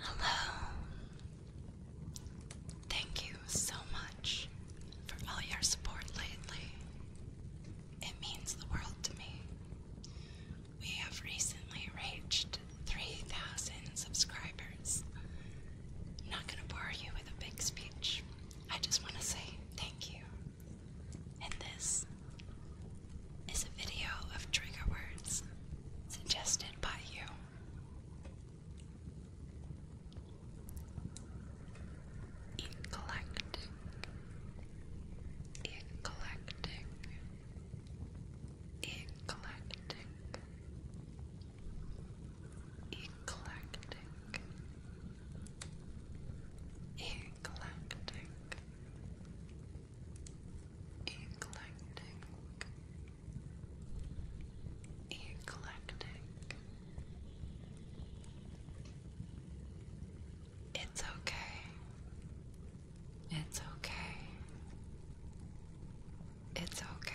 Hello. Thank you so much for all your support lately. It means the world to me. We have recently reached 3,000 subscribers. not going to bore you with a big speech, I just want to say thank you. And this is a video of trigger words suggested by you. Eclectic. Eclectic. Eclectic. Eclectic. Eclectic. Eclectic. Eclectic. It's okay. It's okay. It's okay.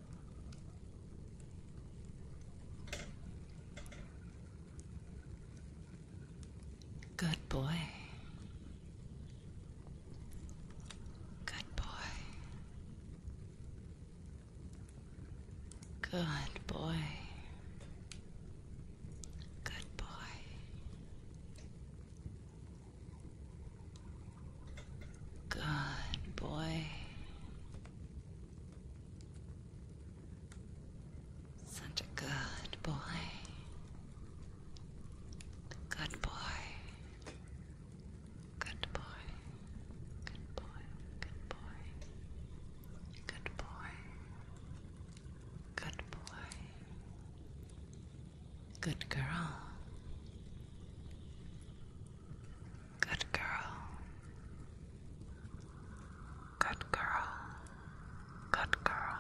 Good boy. Good boy. Good boy. Good boy. Good boy. Such a good boy. Good boy. Good boy. Good boy. Good boy. Good boy. Good girl. Good girl. Good girl. Good girl.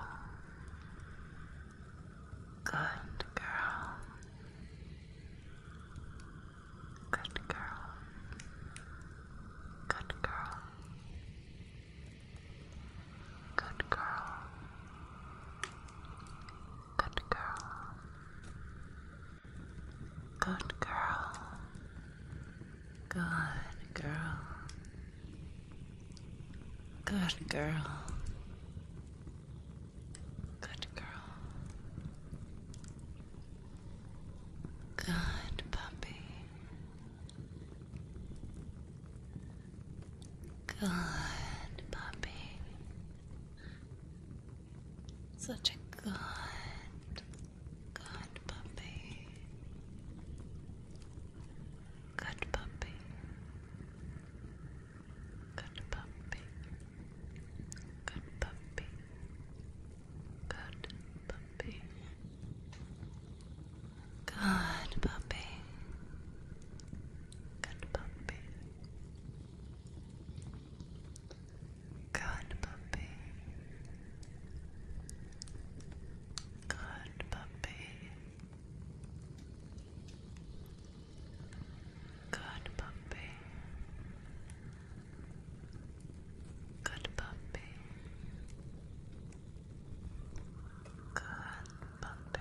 Good girl. Good girl. Good girl. Good girl. Good girl. Good girl. Good girl. Good girl. Good girl. Good puppy. Good puppy. Such a good, good puppy. Good puppy. Good puppy. Good puppy. Good puppy. Good puppy. Good puppy. Good puppy. Good puppy. Good puppy. Good puppy. Good puppy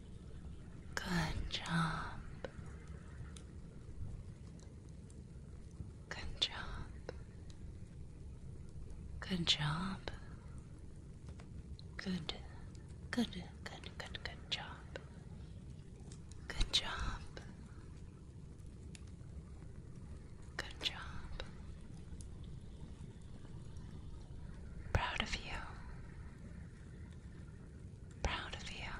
Good job. Good job. Good job. Good, good, good, good, good job. Good job. Good job. Proud of you. Proud of you.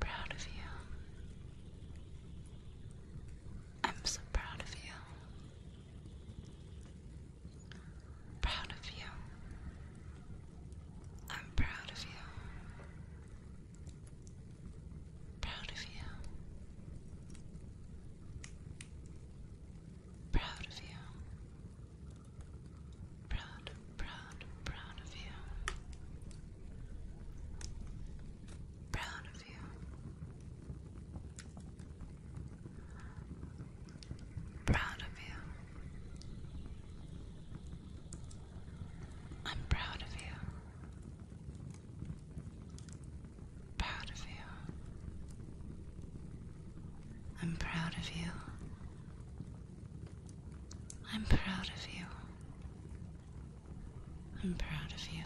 Proud of you. I'm so proud of you. Proud of you. I'm proud of you. Proud of you. Proud of you. Proud, proud, proud of you. Proud of you. Proud of you. I'm proud of you proud of you. I'm proud of you. I'm proud of you. I'm proud of you.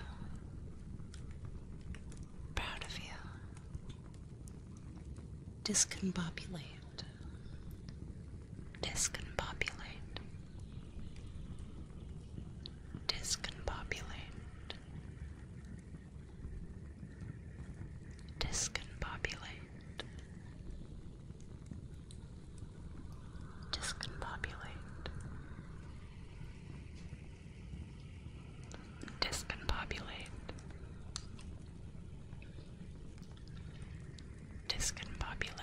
Proud of you. Discombobulate. Discombobulate. Discombobulate. Discombobulate. Discombobulate. Discombobulate. Discombobulate.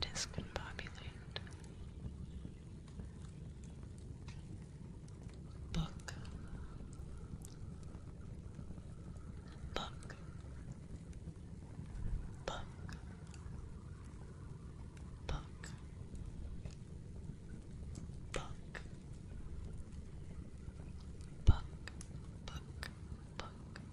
Discombobulate. Book. Book. Book. Book. Book. Book. Book. Book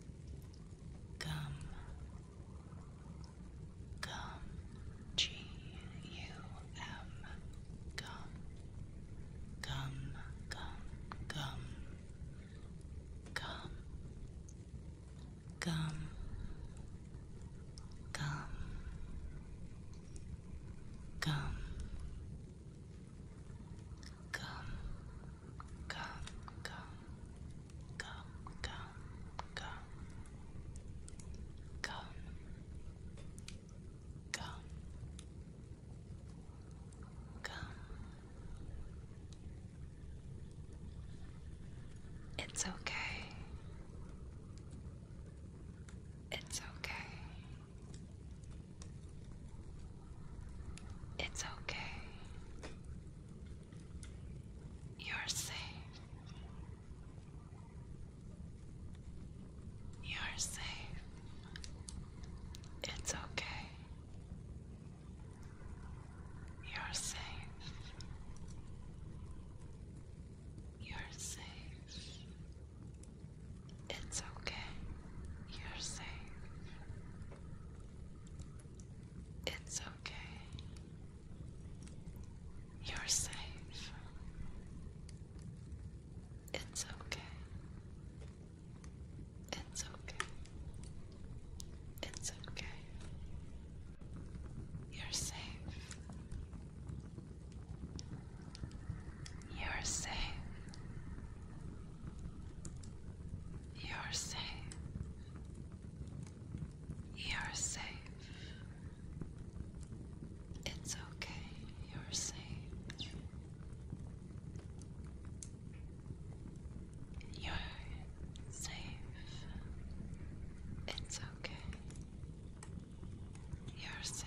Gum. Gum. G U M. Gum. Gum. Gum. Gum. Gum. Gum. Gum. Gum. gum gum gum gum, gum, gum, gum, gum, gum, gum, It's okay. It's okay. It's okay. You're safe. You're safe. It's okay. You're safe. You're safe. It's okay. You're safe. It's okay. You're safe. It's okay. It's okay. It's okay. You're safe. You're safe. You're safe. You're safe. It's okay. You're safe. You're safe. It's okay. You're safe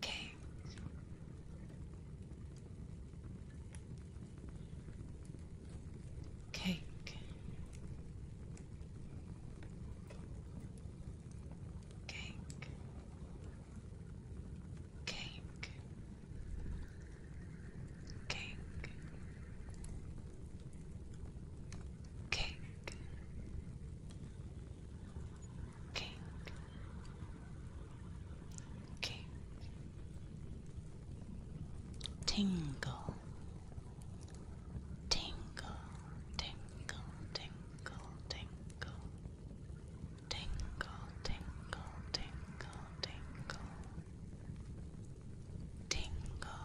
Cake. Okay, okay. Okay. Okay cake, cake, cake, tingle, tingle, tingle, tingle, tingle, tingle, tingle, tingle, tingle. Tingle,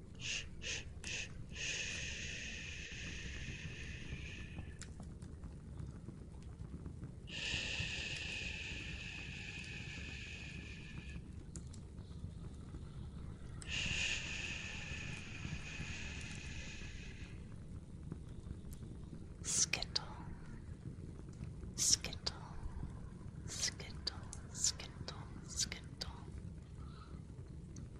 Skittle, skittle, skittle, skittle, skittle.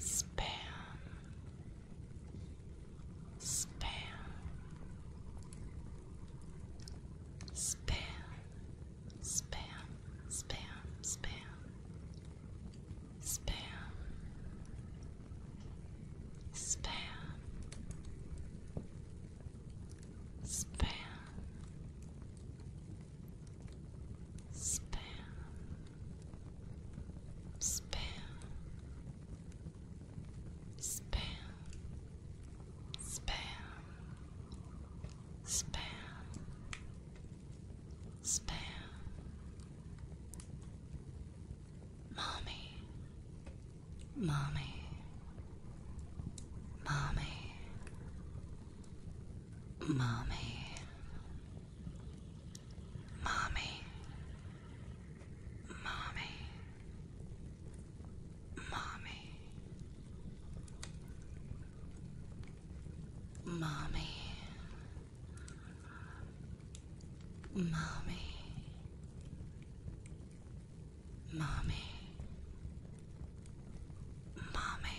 spam, spam, spam, spam, spam, spam, spam, spam, spam spam, spam, spam, spam, spam, spam. Mommy, mommy, mommy, mommy. Mommy, mommy, mommy, mommy, mommy, mommy, mommy.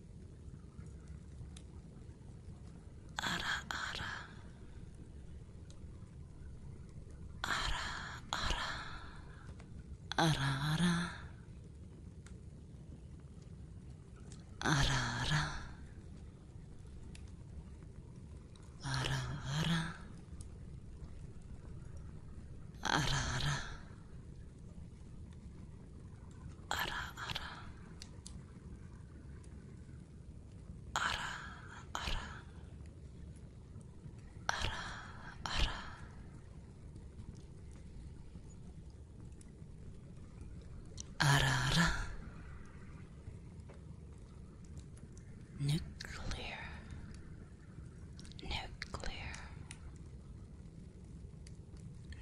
Ara ara. Ara ara. Ara ara. Ara ara. Ara ara. Ara ara. Ara ara. Ara ara. Ara ara. Nuclear. Nuclear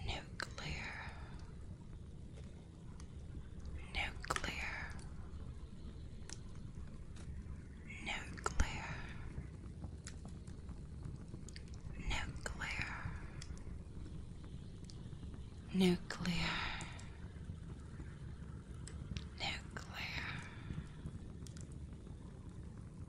nuclear, nuclear, nuclear, nuclear, nuclear, nuclear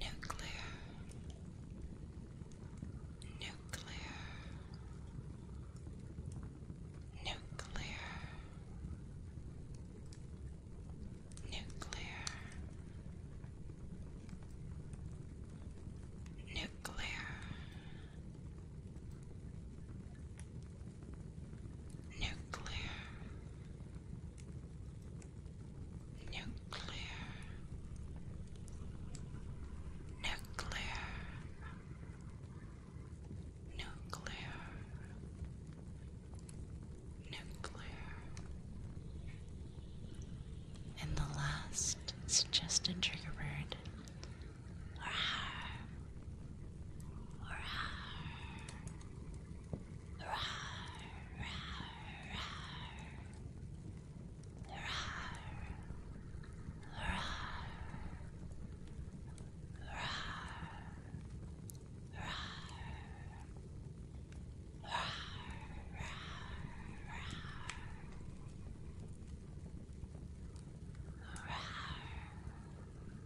nuclear, nuclear, nuclear, nuclear, nuclear. Nuclear, nuclear, nuclear, nuclear, nuclear. And the last suggested trigger word. Or har. Rawr,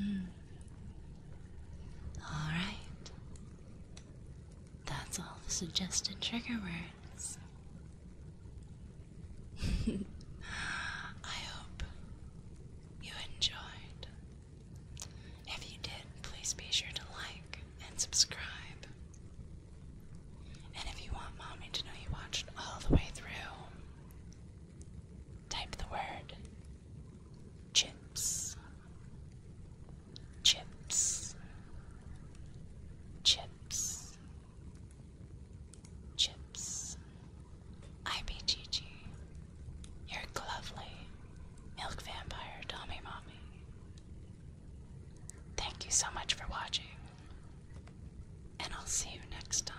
Mm. All right. That's all the suggested trigger words. I hope you enjoyed. If you did, please be sure to like and subscribe. And if you want mommy to know you watched all the way through, type the word chips chips, chips, chips. I be IBGG, you're lovely, milk vampire, Tommy mommy. Thank you so much for watching, and I'll see you next time.